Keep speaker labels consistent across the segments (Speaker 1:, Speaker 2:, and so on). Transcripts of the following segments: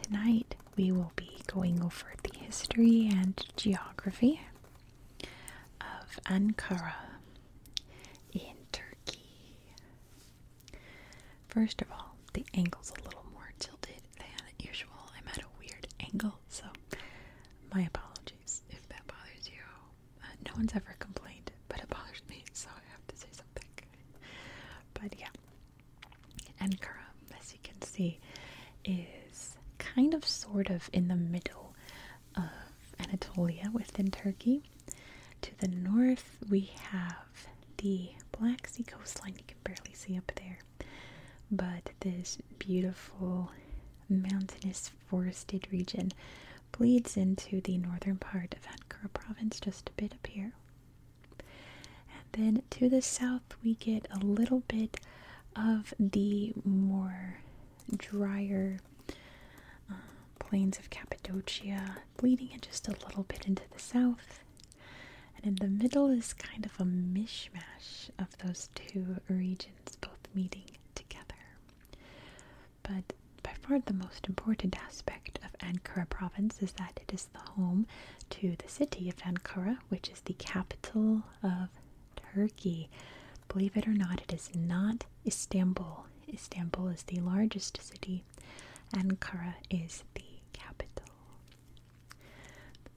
Speaker 1: Tonight we will be going over the history and geography of Ankara in Turkey. First of all, the angle's a little more tilted than usual. I'm at a weird angle, so my apologies if that bothers you. Uh, no one's ever complained, but it bothers me, so I have to say something. But yeah, Ankara, as you can see, is kind of sort of in the middle of Anatolia within Turkey. To the north, we have the Black Sea coastline. You can barely see up there. But this beautiful mountainous forested region bleeds into the northern part of Ankara province just a bit up here. And then to the south, we get a little bit of the more drier uh, plains of Cappadocia, bleeding in just a little bit into the south. And in the middle is kind of a mishmash of those two regions both meeting together. But by far the most important aspect of Ankara province is that it is the home to the city of Ankara, which is is the capital of Turkey. Believe it or not, it is not Istanbul. Istanbul is the largest city. Ankara is the capital.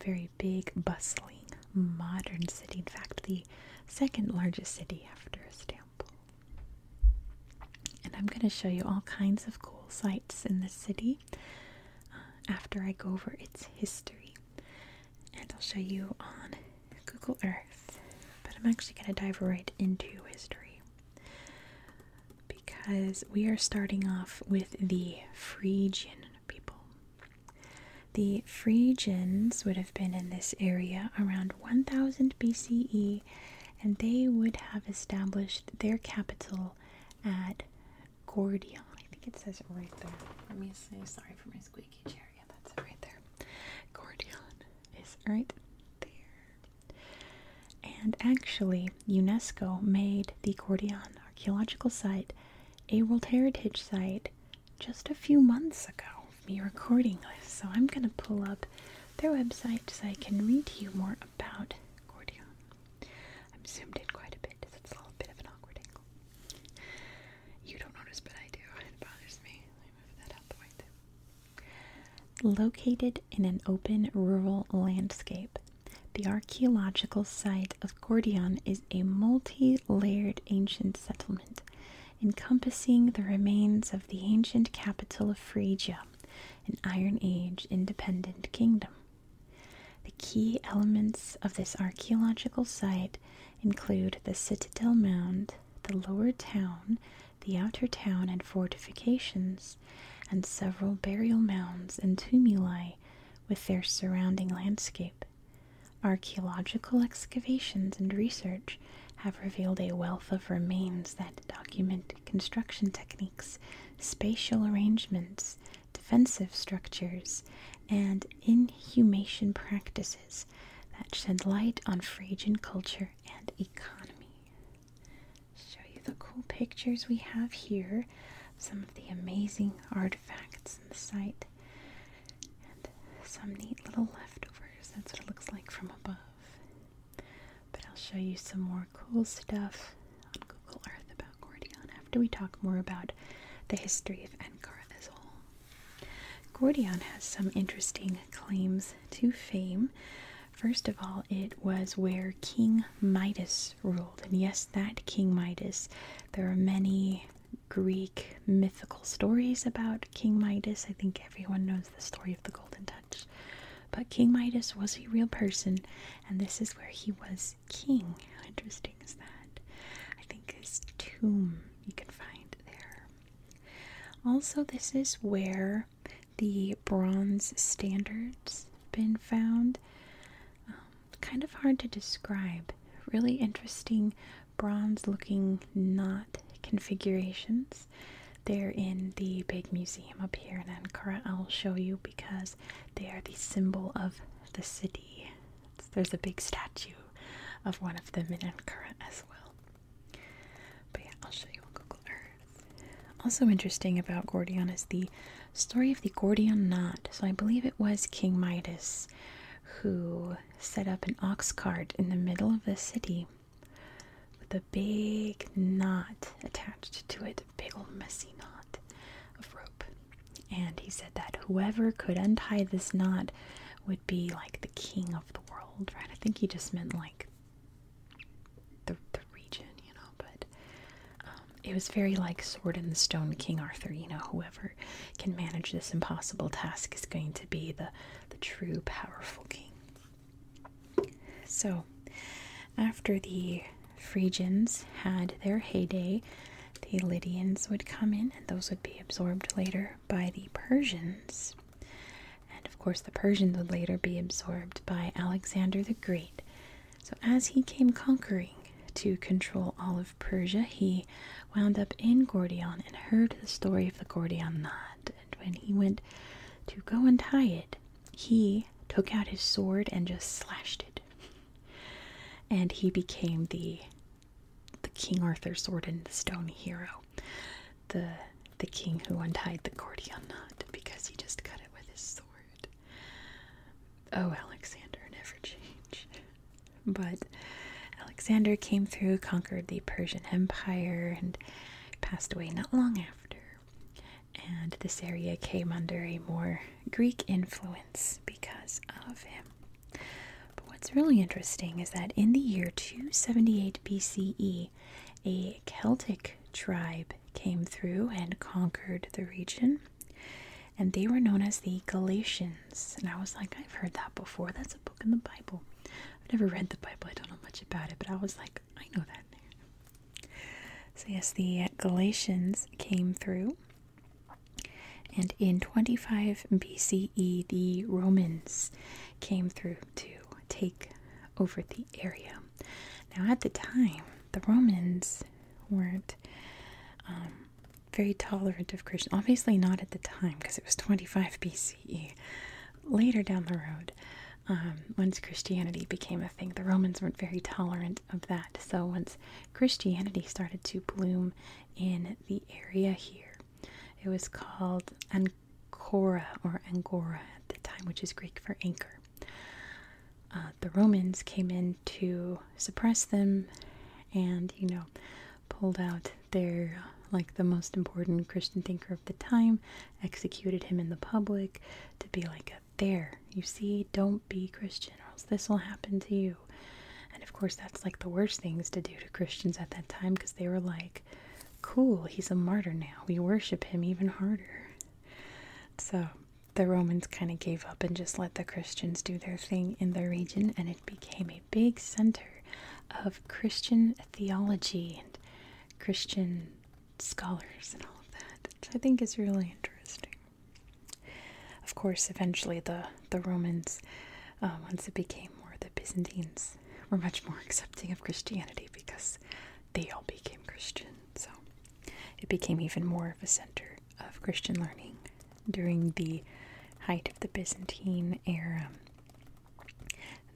Speaker 1: Very big, bustling, modern city. In fact, the second largest city after Istanbul. And I'm going to show you all kinds of cool sites in this city. Uh, after I go over its history. And I'll show you on Google Earth. But I'm actually going to dive right into history because we are starting off with the Phrygian people. The Phrygians would have been in this area around 1000 BCE and they would have established their capital at Gordian, I think it says right there. Let me say sorry for my squeaky chair. Yeah, that's right there. Gordion is right there. And actually, UNESCO made the Gordion archaeological site a World Heritage Site just a few months ago me recording this. So I'm going to pull up their website so I can read to you more Located in an open rural landscape, the archaeological site of Gordion is a multi-layered ancient settlement encompassing the remains of the ancient capital of Phrygia, an Iron Age independent kingdom. The key elements of this archaeological site include the citadel mound, the lower town, the outer town and fortifications, and several burial mounds and tumuli with their surrounding landscape. Archaeological excavations and research have revealed a wealth of remains that document construction techniques, spatial arrangements, defensive structures, and inhumation practices that shed light on Phrygian culture and economy. Show you the cool pictures we have here, some of the amazing artifacts in the site, and some neat little leftovers. That's what it looks like from above. But I'll show you some more cool stuff on Google Earth about Gordian after we talk more about the history of Ankara as a whole. Gordion has some interesting claims to fame. First of all, it was where King Midas ruled. And yes, that King Midas. There are many Greek mythical stories about King Midas. I think everyone knows the story of the Golden Touch. But King Midas was a real person and this is where he was king. How interesting is that? I think his tomb you can find there. Also, this is where the bronze standards been found. Um, kind of hard to describe. Really interesting bronze-looking knot configurations. They're in the big museum up here in Ankara. I'll show you because they are the symbol of the city. there's a big statue of one of them in Ankara as well. But yeah, I'll show you on Google Earth. Also interesting about Gordian is the story of the Gordian knot. So I believe it was King Midas who set up an ox cart in the middle of the city with big knot attached to it, big old messy knot of rope. And he said that whoever could untie this knot would be like the king of the world, right? I think he just meant like the, the region, you know, but um, it was very like Sword in the Stone King Arthur, you know, whoever can manage this impossible task is going to be the, the true powerful king. So, after the Phrygians had their heyday, the Lydians would come in, and those would be absorbed later by the Persians. And of course, the Persians would later be absorbed by Alexander the Great. So, as he came conquering to control all of Persia, he wound up in Gordian and heard the story of the Gordian knot. And when he went to go and tie it, he took out his sword and just slashed it. And he became the the King Arthur sword and the stone hero. The the king who untied the Gordian knot because he just cut it with his sword. Oh, Alexander never changed. But Alexander came through, conquered the Persian Empire, and passed away not long after and this area came under a more Greek influence because of him. But what's really interesting is that in the year 278 BCE, a Celtic tribe came through and conquered the region, and they were known as the Galatians. And I was like, I've heard that before. That's a book in the Bible. I've never read the Bible, I don't know much about it, but I was like, I know that So, yes, the Galatians came through. And in 25 BCE, the Romans came through to take over the area. Now, at the time, the Romans weren't um, very tolerant of Christian. Obviously, not at the time because it was 25 BCE. Later down the road, um, once Christianity became a thing, the Romans weren't very tolerant of that. So once Christianity started to bloom in the area here, it was called Ancora or Angora at the time, which is Greek for anchor. Uh, the Romans came in to suppress them and, you know, pulled out their, like, the most important Christian thinker the time executed him in the public to be like a there you see don't be christian or else this will happen to you and of course that's like the worst things to do to christians at that time because they were like cool he's a martyr now we worship him even harder so the romans kind of gave up and just let the christians do their thing in the region and it became a big center of christian theology and christian scholars and all of that, which I think is really interesting. Of course, eventually the, the Romans, uh, once it became more the Byzantines, were much more accepting of Christianity because they all became Christian. So it became even more of a center of Christian learning during the height of the Byzantine era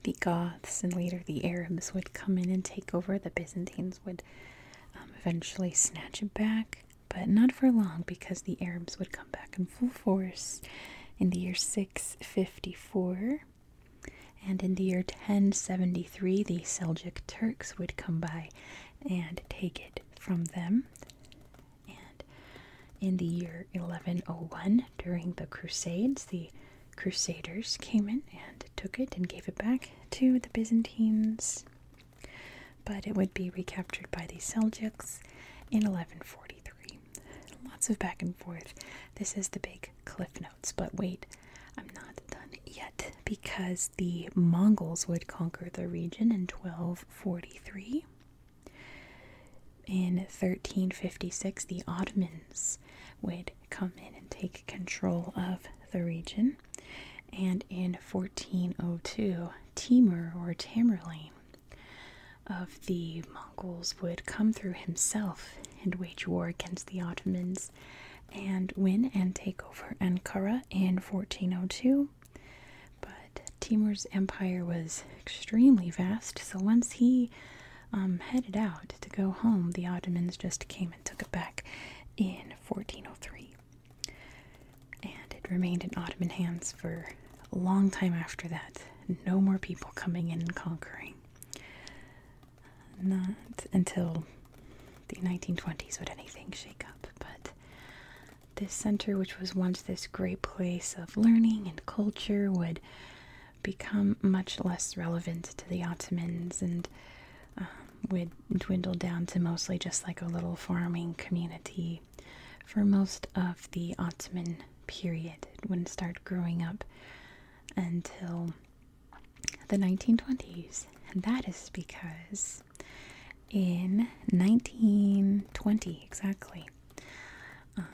Speaker 1: the Goths and later the Arabs would come in and take over. The Byzantines would um, eventually snatch it back, but not for long because the Arabs would come back in full force in the year 654. And in the year 1073, the Seljuk Turks would come by and take it from them. And in the year 1101, during the Crusades, the Crusaders came in and took it and gave it back to the Byzantines, but it would be recaptured by the Seljuks in 1143. Lots of back and forth. This is the big cliff notes, but wait, I'm not done yet because the Mongols would conquer the region in 1243. In 1356, the Ottomans would come in and take control of the region. And in 1402, Timur or Tamerlane of the Mongols would come through himself and wage war against the Ottomans and win and take over Ankara in 1402. But Timur's empire was extremely vast, so once he um, headed out to go home, the Ottomans just came and took it back in 1403. And it remained in Ottoman hands for a long time after that. No more people coming in conquering. Not until the 1920s would anything shake up, but this center, which was once this great place of learning and culture, would become much less relevant to the Ottomans and um, would dwindle down to mostly just like a little farming community for most of the Ottoman period. It wouldn't start growing up until the 1920s. And that is because in 1920, exactly, um,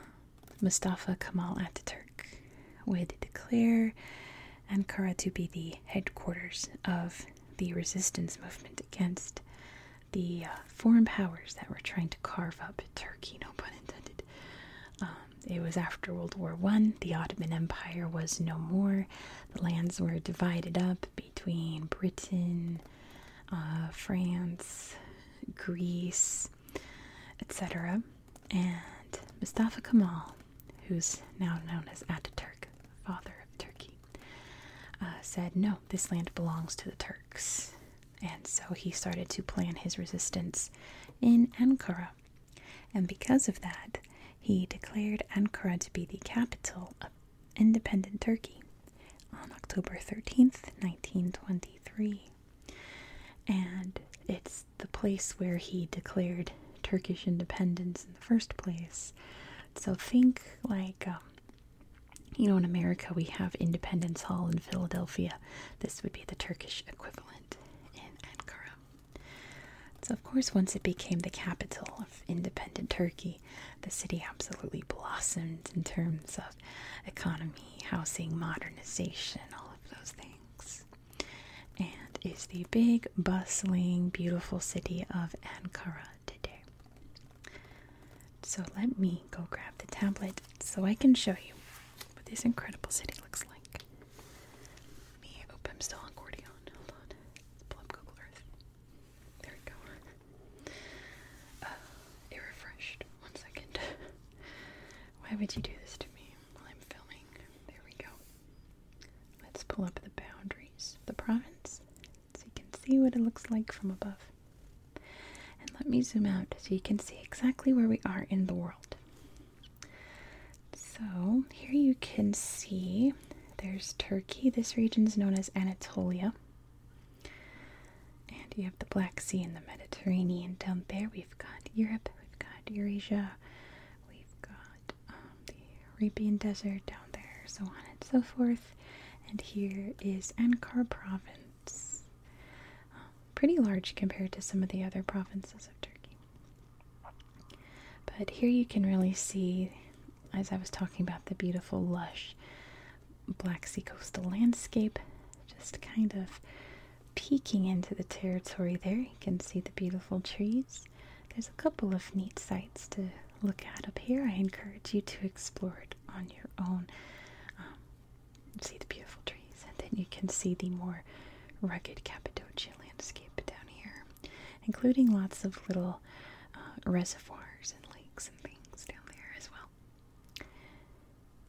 Speaker 1: Mustafa Kemal Ataturk would declare Ankara to be the headquarters of the resistance movement against the uh, foreign powers that were trying to carve up Turkey, no pun intended. Um, it was after World War One. The Ottoman Empire was no more. The lands were divided up between Britain, uh, France, Greece, etc and Mustafa Kemal, who's now known as Ataturk, father of Turkey, uh, said, No, this land belongs to the Turks. And so he started to plan his resistance in Ankara. And because of that, he declared Ankara to be the capital of independent Turkey on October 13th, 1923. And it's the place where he declared Turkish independence in the first place. So think like, um, you know, in America we have Independence Hall in Philadelphia. This would be the Turkish equivalent in Ankara. So, of course, once it became the capital of independent Turkey, the city absolutely blossomed in terms of economy, housing, modernization, all of those things and is the big, bustling, beautiful city of Ankara today. So let me go grab the tablet so I can show you what this incredible city looks like. Me, I'm still on Cordion. Hold on. Let's pull up Google Earth. There we go. Uh, it refreshed. One second. Why would you do this to me? while I'm filming. There we go. Let's pull up the boundaries of the province so you can see what it looks like from above. And let me zoom out so you can see exactly where we are in the world. So here you can see there's Turkey. This region is known as Anatolia. And you have the Black Sea and the Mediterranean down there. We've got Europe, we've got Eurasia, we've got um, the Arabian Desert down there, so on and so forth. And here is Ankara province. Um, pretty large compared to some of the other provinces of Turkey. But here you can really see, as I was talking about, the beautiful, lush Black Sea coastal landscape, just kind of peeking into the territory there. You can see the beautiful trees. There's a couple of neat sites to look at up here. I encourage you to explore it on your own. Um, see the beautiful trees, and then you can see the more rugged Cappadocia landscape down here, including lots of little uh, reservoirs and lakes and things down there as well.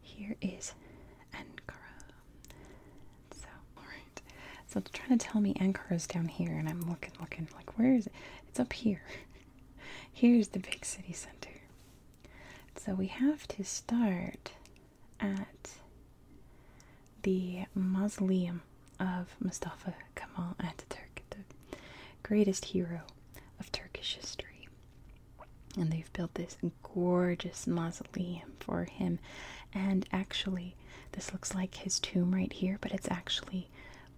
Speaker 1: Here is Ankara. So, alright. So it's trying to tell me Ankara is down here, and I'm looking, looking, like, where is it? It's up here. Here's the big city center. So we have to start at the mausoleum of Mustafa Kemal Ataturk, the greatest hero of Turkish history and they've built this gorgeous mausoleum for him. And actually, this looks like his tomb right here, but it's actually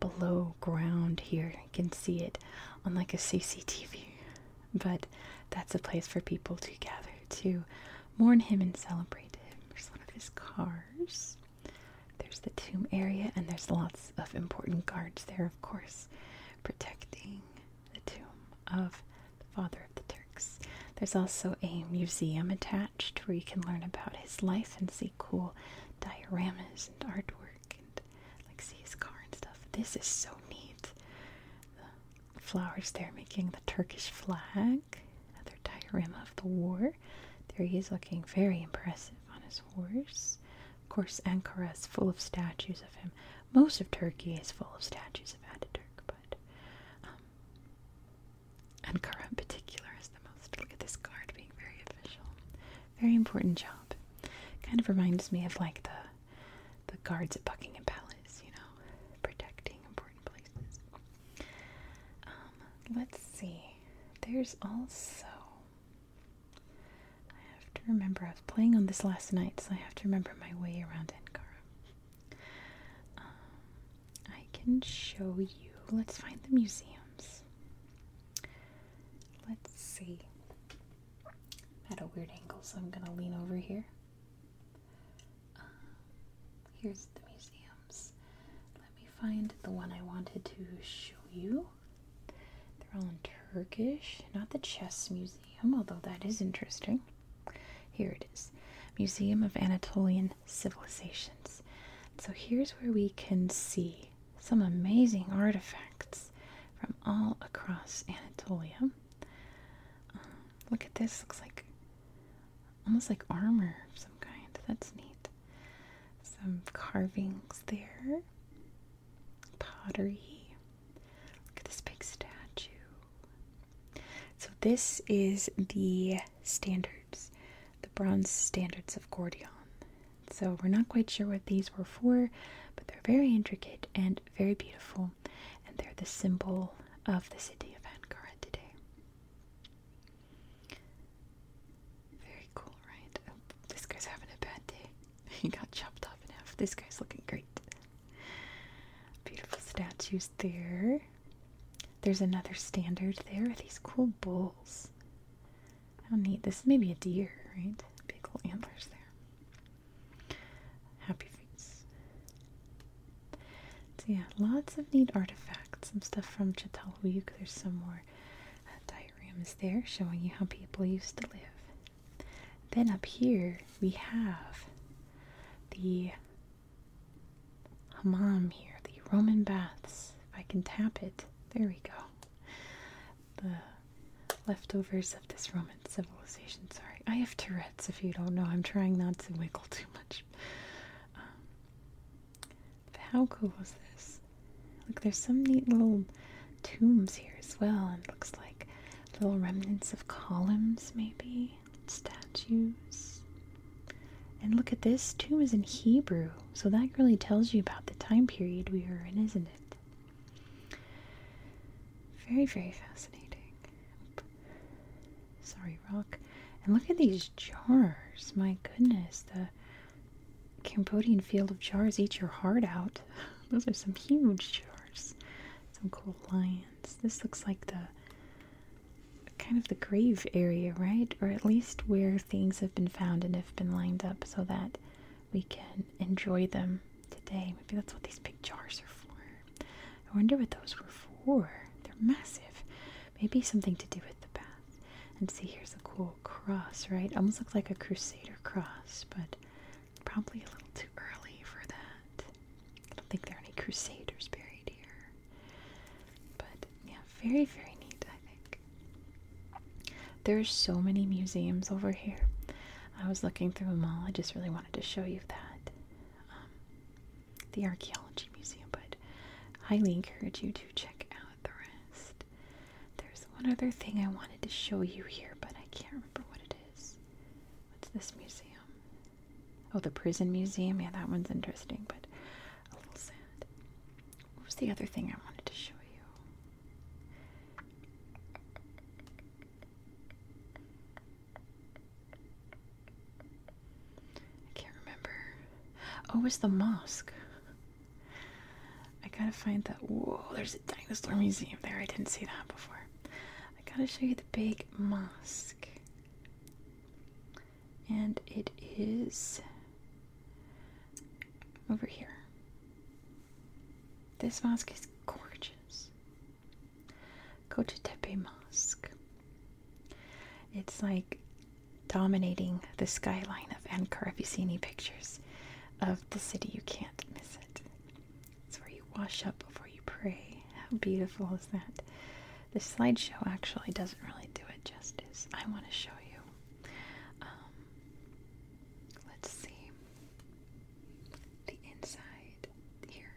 Speaker 1: below ground here. You can see it on like a CCTV. But that's a place for people to gather to mourn him and celebrate him. There's one of his cars. There's the tomb area, and there's lots of important guards there, of course, protecting the tomb of the father of the Turks. There's also a museum attached where you can learn about his life and see cool dioramas and artwork and like see his car and stuff. This is so neat. The flowers there making the Turkish flag, another diorama of the war. There he is looking very impressive on his horse. Of course, Ankara is full of statues of him. Most of Turkey is full of statues of Ataturk, but um, Ankara in particular is the most. Look at this guard being very official. Very important job. Kind of reminds me of like the the guards at Buckingham Palace, you know, protecting important places. Um, let's see. There's also I have to remember, I was playing on this last night, so I have to remember my way around Ankara. Um, I can show you, let's find the museums. Let's see. at a weird angle, so I'm gonna lean over here. Um, here's the museums. Let me find the one I wanted to show you. They're all in Turkish. Not the Chess Museum, although that is interesting. Here it is Museum of Anatolian Civilizations. So here's where we can see some amazing artifacts from all across Anatolia. Um, look at this, looks like almost like armor of some kind. That's neat. Some carvings there, pottery. Look at this big statue. So, this is the standards, the bronze standards of Gordion. So, we're not quite sure what these were for, but they're very intricate and very beautiful, and they're the symbol of the city of Ankara today. Very cool, right? this guy's having a bad day. he got chopped up in half. This guy's looking great. Beautiful statues there. There's another standard there. These cool bulls. How neat. This is maybe a deer, right? Big little antlers there. Happy face. So yeah, lots of neat artifacts. Some stuff from Chitalaluyuk. There's some more uh, dioramas there showing you how people used to live. Then up here we have the hammam here, the Roman baths. If I can tap it, there we go. The leftovers of this Roman civilization. Sorry, I have Tourette's if you don't know. I'm trying not to wiggle too much. Um, how cool is this? Look, there's some neat little tombs here as well, and looks like little remnants of columns, maybe statues. And look at this tomb is in Hebrew, so that really tells you about the time period we are in, isn't it? Very, very fascinating. Sorry, rock. And look at these jars. My goodness, the Cambodian field of jars eat your heart out. Those are some huge jars. Some cool lions. This looks like the kind of the grave area, right? Or at least where things have been found and have been lined up so that we can enjoy them today. Maybe that's what these big jars are for. I wonder what those were for. They're massive. Maybe something to do with the bath. And see, here's a cool cross, right? Almost looks like a crusader cross, but Probably a little too early for that. I don't think there are any crusaders buried here. But yeah, very, very neat, I think. there are so many museums over here. I was looking through them all. I just really wanted to show you that. Um, the Archaeology Museum, but highly encourage you to check out the rest. There's one other thing I wanted to show you here, but I can't remember what it is. What's this museum? Oh, the prison museum. Yeah, that one's interesting, but a little sad. What was the other thing I wanted to show you? I can't remember. Oh, it was the mosque. I gotta find that. Whoa, there's a dinosaur museum there. I didn't see that before. I gotta show you the big mosque. And it is over here. This mosque is gorgeous. Tepe Mosque. It's like dominating the skyline of Ankara if you see any pictures of the city. You can't miss it. It's where you wash up before you pray. How beautiful is that? The slideshow actually doesn't really do it justice. I want to show you. Um, let's see the inside here.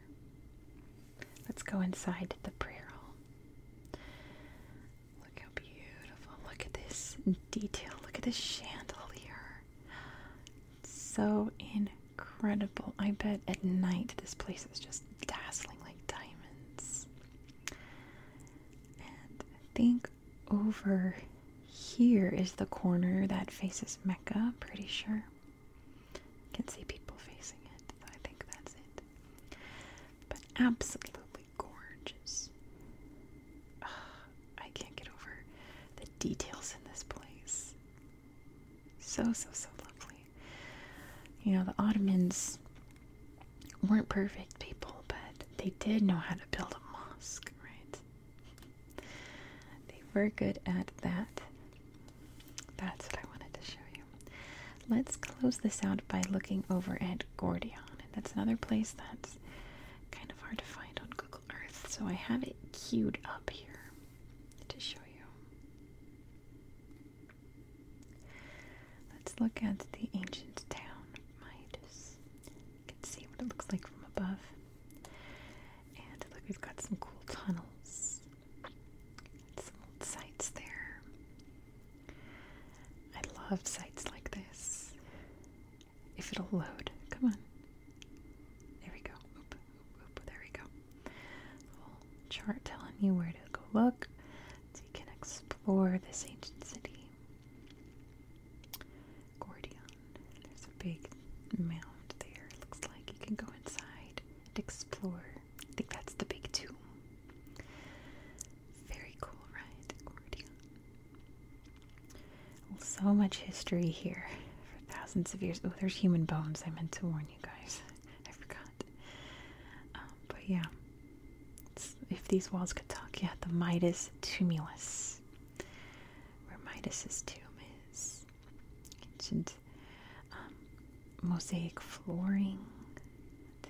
Speaker 1: Let's go inside the prayer hall. Look how beautiful. Look at this detail. Look at this chandelier so incredible. I bet at night this place is just dazzling like diamonds. I think over here is the corner that faces Mecca, pretty sure. can see people facing it, I think that's it. But absolutely gorgeous. I can't get over the details in this place. So, so, so lovely. You know, the Ottomans weren't perfect people, but they did know how to build a mosque, right? They were good at that. That's what I wanted to show you. Let's close this out by looking over at Gordian. That's another place that's kind of hard to find on Google Earth, so I have it queued up here to show you. Let's look at the ancient town Midas. You can see what it looks like from above. And look, we've got some cool tunnels. Some old sites there. I love sites like this. If it'll load. Come on. There we go. There we go. chart telling you where to go look so you can explore this ancient city. Gordion. There's a big mound there. Looks like you can go inside and explore. I think that's the big tomb. Very cool, right? Gordion. So much history here for thousands of years. Oh, there's human bones. I meant to warn you guys. I forgot. Um, but yeah, if these walls could talk, yeah, the Midas tumulus, where Midas's tomb is. Ancient um, mosaic flooring.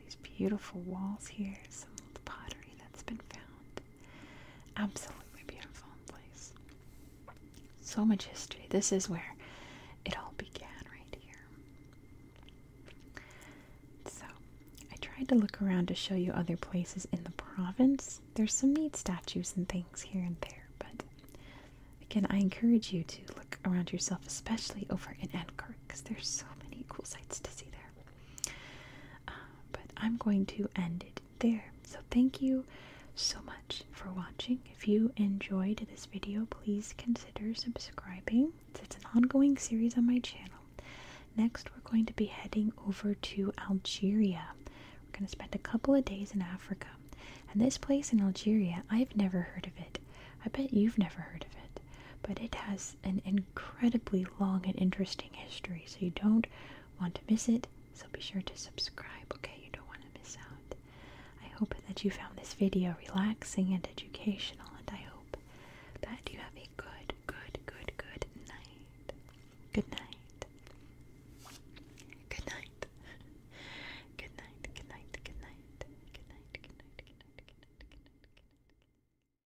Speaker 1: These beautiful walls here. Some old pottery that's been found. Absolutely beautiful place. So much history. This is where it all began, right here. So, I tried to look around to show you other places in the province. There's some neat statues and things here and there, but again, I encourage you to look around yourself, especially over in Antwerp, because there's so many cool sites to see there but I'm going to end it there. So thank you so much for watching. If you enjoyed this video, please consider subscribing. It's an ongoing series on my channel. Next, we're going to be heading over to Algeria. We're going to spend a couple of days in Africa. And this place in Algeria, I've never heard of it. I bet you've never heard of it. But it has has an incredibly long and interesting history, so you don't want to miss it. So be sure to subscribe, okay? You don't want to miss out. I hope that you found this video relaxing and educational, and I hope that you have a good, good, good, good night. Good night. Good night. Good night. Good night. Good night. Good night. Good night. Good night. Good night. Good night. Good night.